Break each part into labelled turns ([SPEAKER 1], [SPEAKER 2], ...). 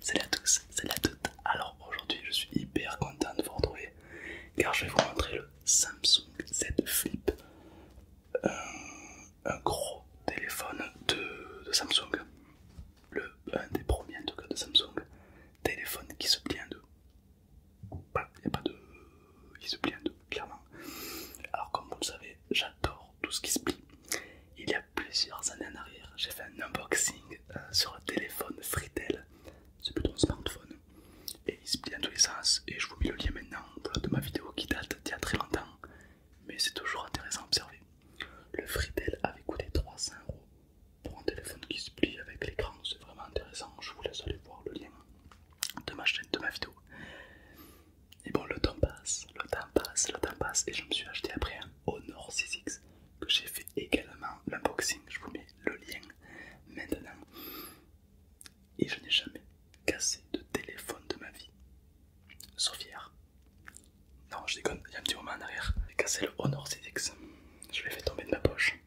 [SPEAKER 1] Salut à tous, salut à toutes. Alors aujourd'hui, je suis hyper content de vous retrouver car je vais vous montrer le Samsung Z Flip, euh, un, gros téléphone de, Samsung, le un des premiers en tout cas de Samsung, téléphone qui se plie en deux. Il n'y a pas de, il se plie en deux, clairement. Alors comme vous le savez j'adore tout ce qui se plie. Il y a plusieurs années en arrière, j'ai fait un unboxing euh, sur un téléphone Fritel, c'est plutôt un smartphone, et il se plie dans tous les sens. Et je vous mets le lien maintenant de ma vidéo qui date d'il y a très longtemps, mais c'est toujours intéressant à observer. Le Fritel avait coûté 300 euros pour un téléphone qui se plie avec l'écran, c'est vraiment intéressant. Je vous laisse aller voir le lien de ma chaîne, de ma vidéo. Et bon, le temps passe, le temps passe, le temps passe, et je me suis acheté après un Honor 6X que j'ai fait également l'unboxing. Je vous mets le lien maintenant. Et je n'ai jamais cassé de téléphone de ma vie. Sauf hier. Non, je déconne, il y a un petit moment en arrière. J'ai cassé le Honor 6X. Je l'ai fait tomber de ma poche.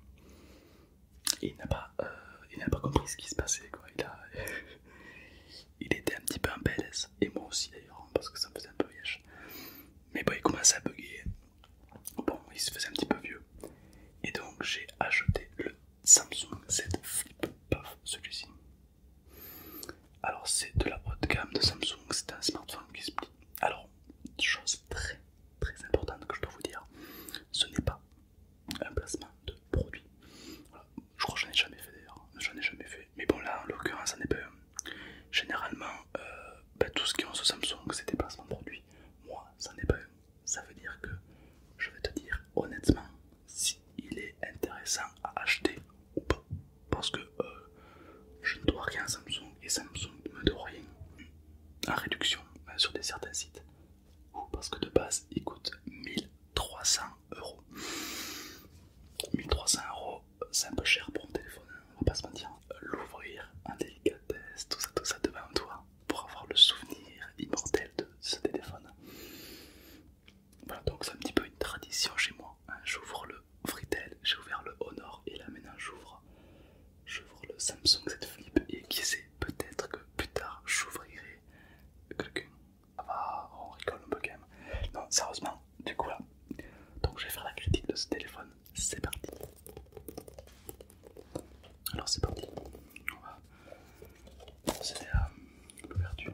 [SPEAKER 1] Et il n'a pas, euh, n'a pas compris ce qui se passait. Quoi. Il a. il était un petit peu en PLS, et moi aussi d'ailleurs, hein, parce que ça me faisait un peu vieille. Mais bon, il commençait à buguer, bon, il se faisait un petit peu vieux, et donc j'ai acheté le Samsung Z Flip, paf, celui-ci. Alors, c'est de la haute gamme de Samsung, c'est un smartphone qui se plie. Alors, chose très très importante que je dois vous dire, ce n'est pas un placement de produit. Je crois que je ai jamais fait d'ailleurs, j'en ai jamais fait. Mais bon là en l'occurrence ça n'est pas Généralement, euh, bah, tout ce qui ont ce Samsung c'est des placements de produits. Moi ça n'est pas Ça veut dire que je vais te dire honnêtement s'il est intéressant à acheter ou pas. Parce que euh, je ne dois rien à Samsung et Samsung ne me doit rien en réduction euh, sur des certains sites parce que de base il coûte 1300 euros. 1300 euros, c'est un peu cher pour un téléphone, hein, on va pas se mentir. L'ouvrir en délicatesse, tout ça, tout ça devant toi, pour avoir le souvenir immortel de ce téléphone. Voilà, donc c'est un petit peu une tradition chez moi. Hein. J'ouvre le Fritel, j'ai ouvert le Honor et là maintenant j'ouvre le Samsung Z Flip et qui sait, peut-être que plus tard j'ouvrirai quelqu'un ah bah, on rigole un peu quand même. Non, sérieusement, du coup là. Donc je vais faire la critique de ce téléphone. C'est parti. Alors c'est parti. On va procéder à l'ouverture.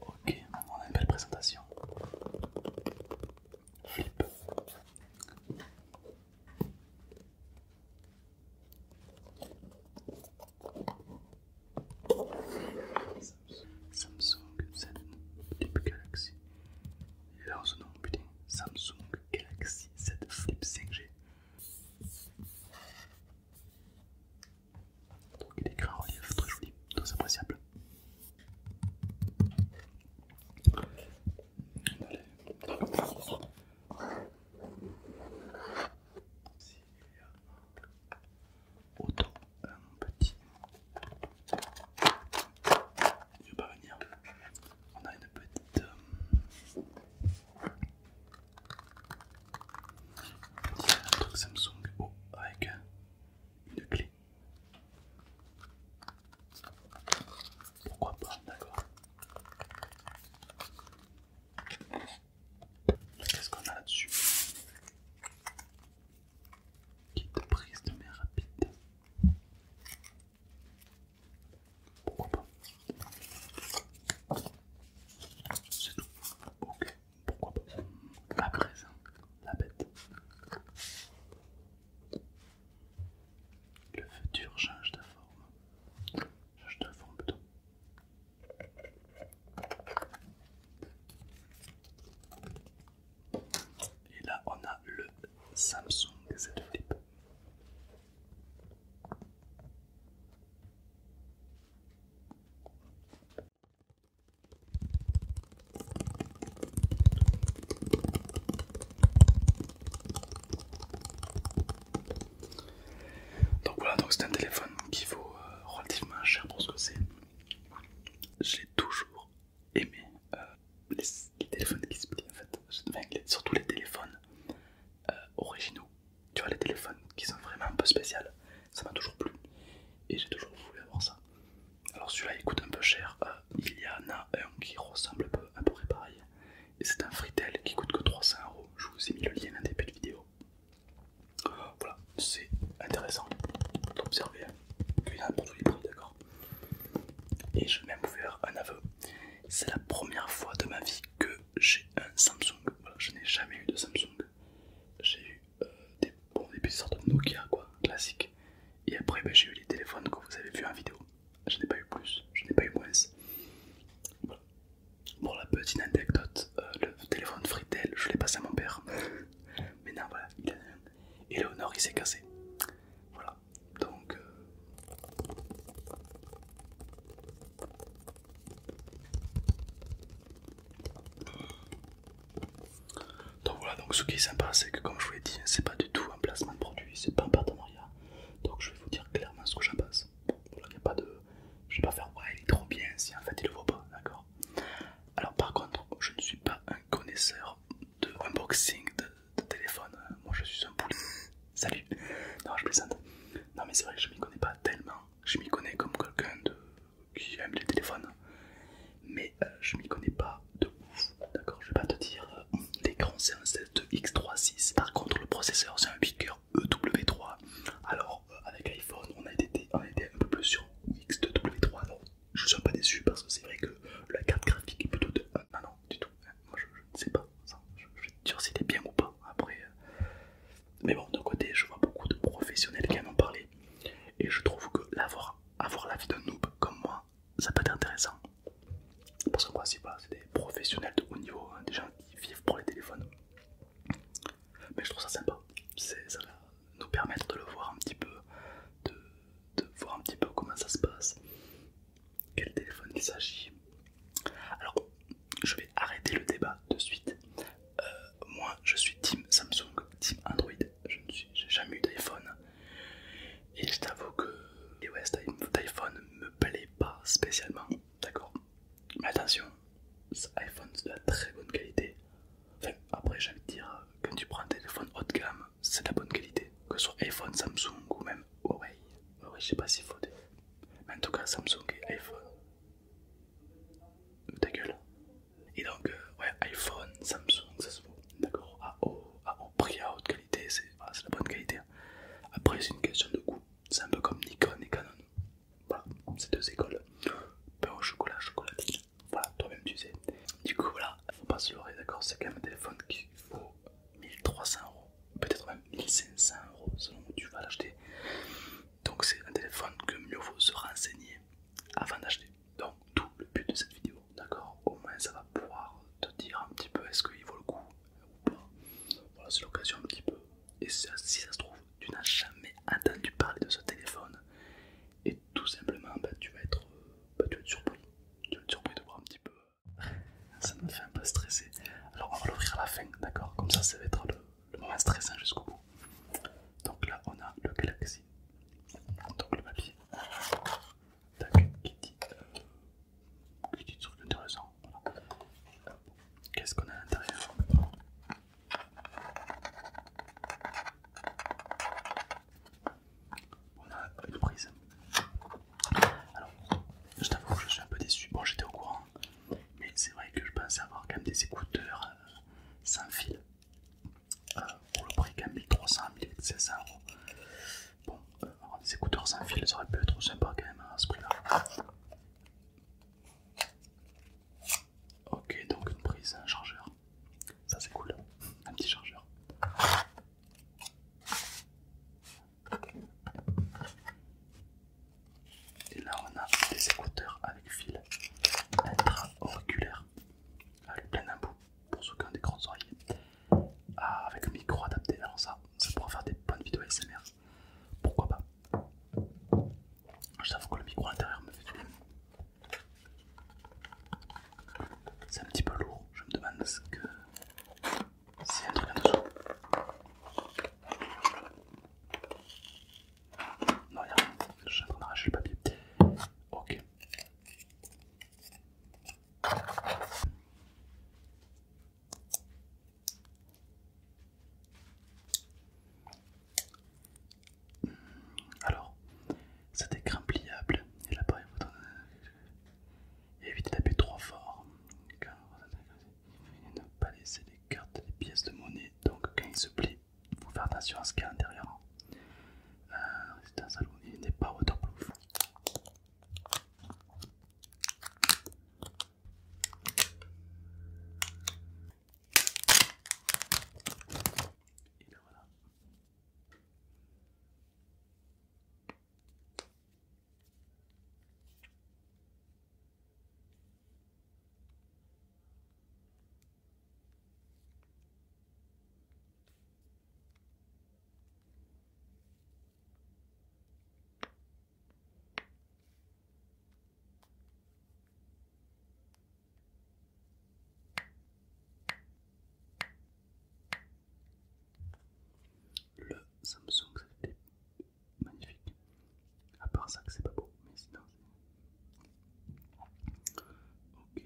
[SPEAKER 1] Ok, on a une belle présentation. Flip. Samsung Z Flip Galaxy. Il a ce nom, putain. Samsung Galaxy Z Flip 5G. Donc il est grand relief très joli, très appréciable. Allez. il y a autant un petit. Il ne veut pas venir. On a une petite. Euh, un truc Samsung avec une clé. Pourquoi pas, d'accord. Qu'est-ce qu'on a là-dessus Kit prise de mer rapide. Pourquoi pas C'est tout. Ok pourquoi pas. à présent, la bête. Le futur change de forme. Change de forme plutôt. Et là, on a le Samsung Z Flip. Donc voilà, c'est un téléphone qui vaut euh, relativement cher pour ce que c'est. J'ai toujours aimé euh, les, téléphones qui se plient en fait, surtout les téléphones euh, originaux tu vois, les téléphones qui sont vraiment un peu spéciaux, ça m'a toujours plu et j'ai toujours voulu avoir ça. Alors celui-là il coûte un peu cher, euh, il y en a un qui ressemble un peu à peu près pareil et c'est un Fritel qui coûte que 300 euros. Je vous ai mis le lien en début de vidéo. Voilà, c'est intéressant d'observer qu'il y a un produit prix d'accord Et je vais même vous faire un aveu. C'est la première fois de ma vie que j'ai un Samsung. Voilà, je n'ai jamais eu de Samsung j'ai eu euh, des, petites sortes de Nokia quoi, classique. Et après bah, j'ai eu les téléphones que vous avez vu en vidéo. Je n'ai pas eu plus, je n'ai pas eu moins. Bon la petite anecdote, euh, le téléphone Fritel, je l'ai passé à mon père. Mais non voilà, il a Et il s'est cassé. Voilà. Donc euh, donc voilà, donc ce qui est sympa, c'est que comme je vous l'ai dit, c'est pas du tout un placement de produit, c'est pas un partenariat. Donc je vais vous dire clairement ce que j'en pense. Voilà, y a pas de... Je vais pas faire ouais, il est trop bien si en fait il le voit pas, d'accord Alors par contre, je ne suis pas un connaisseur de unboxing de, téléphone. Moi je suis un poulet. Salut Non, je plaisante. Non, mais c'est vrai que je m'y connais pas tellement je m'y connais comme quelqu'un qui aime les téléphones, mais euh, je m'y connais pas de ouf, d'accord Je vais pas te dire, euh, l'écran c'est un 7X36, par contre le processeur c'est un Bicker EW3, alors euh, avec iPhone on a, été, un peu plus sur X2W3, non je suis pas déçu parce que c'est vrai que la carte graphique est plutôt de... ah non, du tout, hein. moi je ne sais pas, je, vais te dire si c'était bien ou pas, après... Mais bon, d'un côté, je vois beaucoup de professionnels qui en ont parlé. Et je trouve que l'avoir, avoir la vie d'un noob comme moi, ça peut être intéressant. Parce que moi, c'est des professionnels de haut niveau, hein, des gens qui vivent pour les téléphones. Mais je trouve ça sympa. Ça va nous permettre de le voir un petit peu, de voir un petit peu comment ça se passe, quel téléphone il s'agit, alors, je vais arrêter le débat de suite. Euh, moi, je suis Team Samsung, Team Android. Je n'ai jamais eu d'iPhone. Et je t'avoue que l'iOS d'iPhone me plaît pas spécialement. D'accord Mais attention, iPhone c'est de la très bonne qualité. Enfin, après, j'ai envie de dire, quand tu prends un téléphone haut de gamme, c'est de la bonne qualité. Que ce soit iPhone, Samsung ou même Huawei. Huawei, je sais pas s'il faut Mais en tout cas, Samsung et iPhone, ta gueule. Et donc, euh, ouais, iPhone, Samsung, ça se vaut. D'accord à haut, prix, à haute qualité, c'est la bonne qualité. Hein. Après, c'est une question de goût. C'est un peu comme Nikon et Canon. Voilà, c'est deux écoles. Pain au chocolat, chocolatine. Voilà, toi-même tu sais. Du coup, voilà, faut pas se leurrer, d'accord C'est quand même un téléphone qui vaut 1300 euros peut-être même 1500 euros selon où tu vas l'acheter. Donc c'est un téléphone que mieux vaut se renseigner avant d'acheter. Donc tout le but de cette vidéo, d'accord Au moins ça va pouvoir te dire un petit peu est-ce qu'il vaut le coup ou pas. Voilà, c'est l'occasion un petit peu. Et si ça se trouve, tu n'as jamais entendu parler de ce téléphone. Et tout simplement, bah, tu, vas être, bah, tu vas être surpris. Tu vas être surpris de voir un petit peu. Ça me fait un peu stresser. Alors on va l'ouvrir à la fin, d'accord Comme ça, ça va être le le moment stressant jusqu'au bout. Donc là, on a le Galaxy, donc le papier, qui dit, euh, qui dit intéressant. Voilà. Qu'est-ce qu'on a à l'intérieur On a une prise. Alors, je t'avoue que je suis un peu déçu. Bon, j'étais au courant mais c'est vrai que je pensais avoir quand même des écouteurs euh, sans fil. Euh, pour le prix quand même 1300, 1600 Bon, euh, avoir des écouteurs sans fil, ça aurait pu être sympa quand même hein, à ce prix-là. Ok, donc une prise, un chargeur. Ça c'est cool, un petit chargeur. Et là, on a des écouteurs avec fil intra-auriculaire avec ah, plein bout, pour ceux qui ont des grandes oreilles, ah, avec un micro adapté. Alors, ça, ça pourra faire des bonnes vidéos ASMR. Pourquoi pas? Je savais que le micro à l'intérieur me fait du bien. C'est un petit peu lourd, je me demande ce que c'est un truc en dessous Non, y'a rien. Je suis en train d'arracher le papier. Ok. Alors, cet écran pliable il et l'appareil euh, Évitez de trop fort. Il ne pas laisser les cartes, les pièces de monnaie. Donc quand il se plie, il faut faire attention à ce qu'il y a à l'intérieur. Hein. Euh, c'est un salon il n'est pas waterproof. Et là voilà. Le Samsung magnifique. À part ça que c'est pas beau, mais sinon Ok.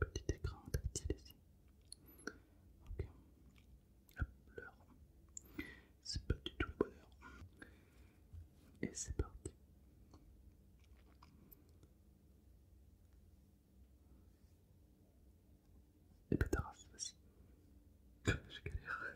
[SPEAKER 1] Petit écran tactile ici. Ok. La l'heure. C'est pas du tout le bonheur. Et c'est parti. Et pétard, c'est J'ai Je galère.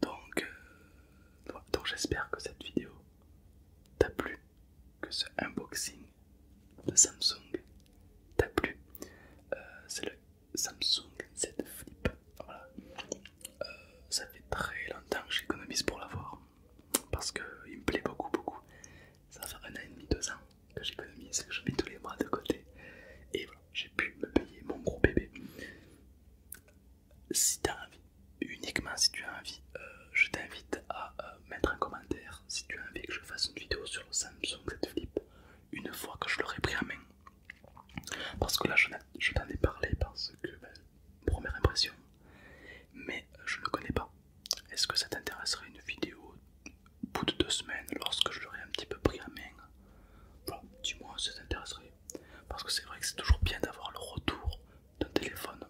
[SPEAKER 1] Donc, euh, donc j'espère que cette vidéo t'a plu, que ce unboxing de Samsung t'a plu. Euh, c'est le Samsung Z Flip. Euh, ça fait très longtemps que j'économise pour l'avoir parce qu'il me plaît beaucoup beaucoup. Ça fait un an et demi, deux ans que j'économise, que je mets tous les bras de côté. Et voilà, j'ai pu me payer mon gros bébé. Si tu envie, uniquement si tu as envie, euh, je t'invite à euh, mettre un commentaire si tu as envie que je fasse une vidéo sur le Samsung Z Flip une fois que je l'aurai pris en main. Parce que là, je t'en ai parlé parce que, ben, première impression, mais euh, je ne connais pas. Est-ce que ça t'intéresserait une vidéo au bout de deux semaines lorsque je l'aurai un petit peu pris à main Bon, dis-moi si ça t'intéresserait. Parce que c'est vrai que c'est toujours bien d'avoir le retour d'un téléphone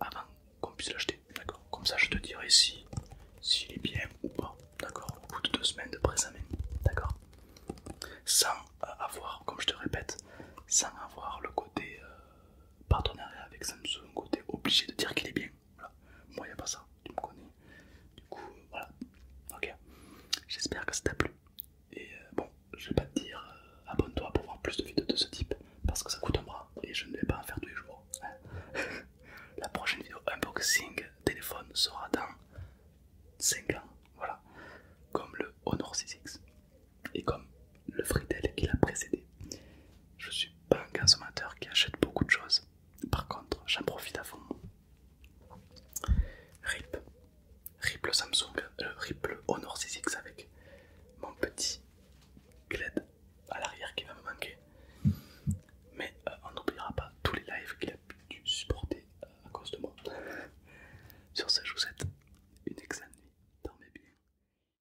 [SPEAKER 1] avant qu'on puisse l'acheter. D'accord Comme ça, je te dirai si il est bien ou pas. D'accord Au bout de deux semaines de prise main. D'accord Sans euh, avoir, comme je te répète, sans avoir le côté euh, partenariat avec Samsung, côté obligé de dire qu'il est bien. Moi, il a pas ça, tu me connais. Du coup, euh, voilà. Ok. J'espère que ça t'a plu. Et euh, bon, je vais pas te dire euh, abonne-toi pour voir plus de vidéos de ce type parce que ça coûte un bras et je ne vais pas en faire tous les jours. Hein. La prochaine vidéo unboxing téléphone sera dans 5 ans. Voilà. Comme le Honor 6X et comme le Fritel qui l'a précédé. Je suis pas un consommateur qui achète beaucoup de choses. Par contre, j'en profite à fond. RIP. RIP le Samsung, euh, RIP le Honor 6X avec mon petit GLED à l'arrière qui va me manquer. Mais euh, on n'oubliera pas tous les lives qu'il a dû supporter euh, à cause de moi. Sur ce, je vous souhaite une excellente nuit. Dormez bien.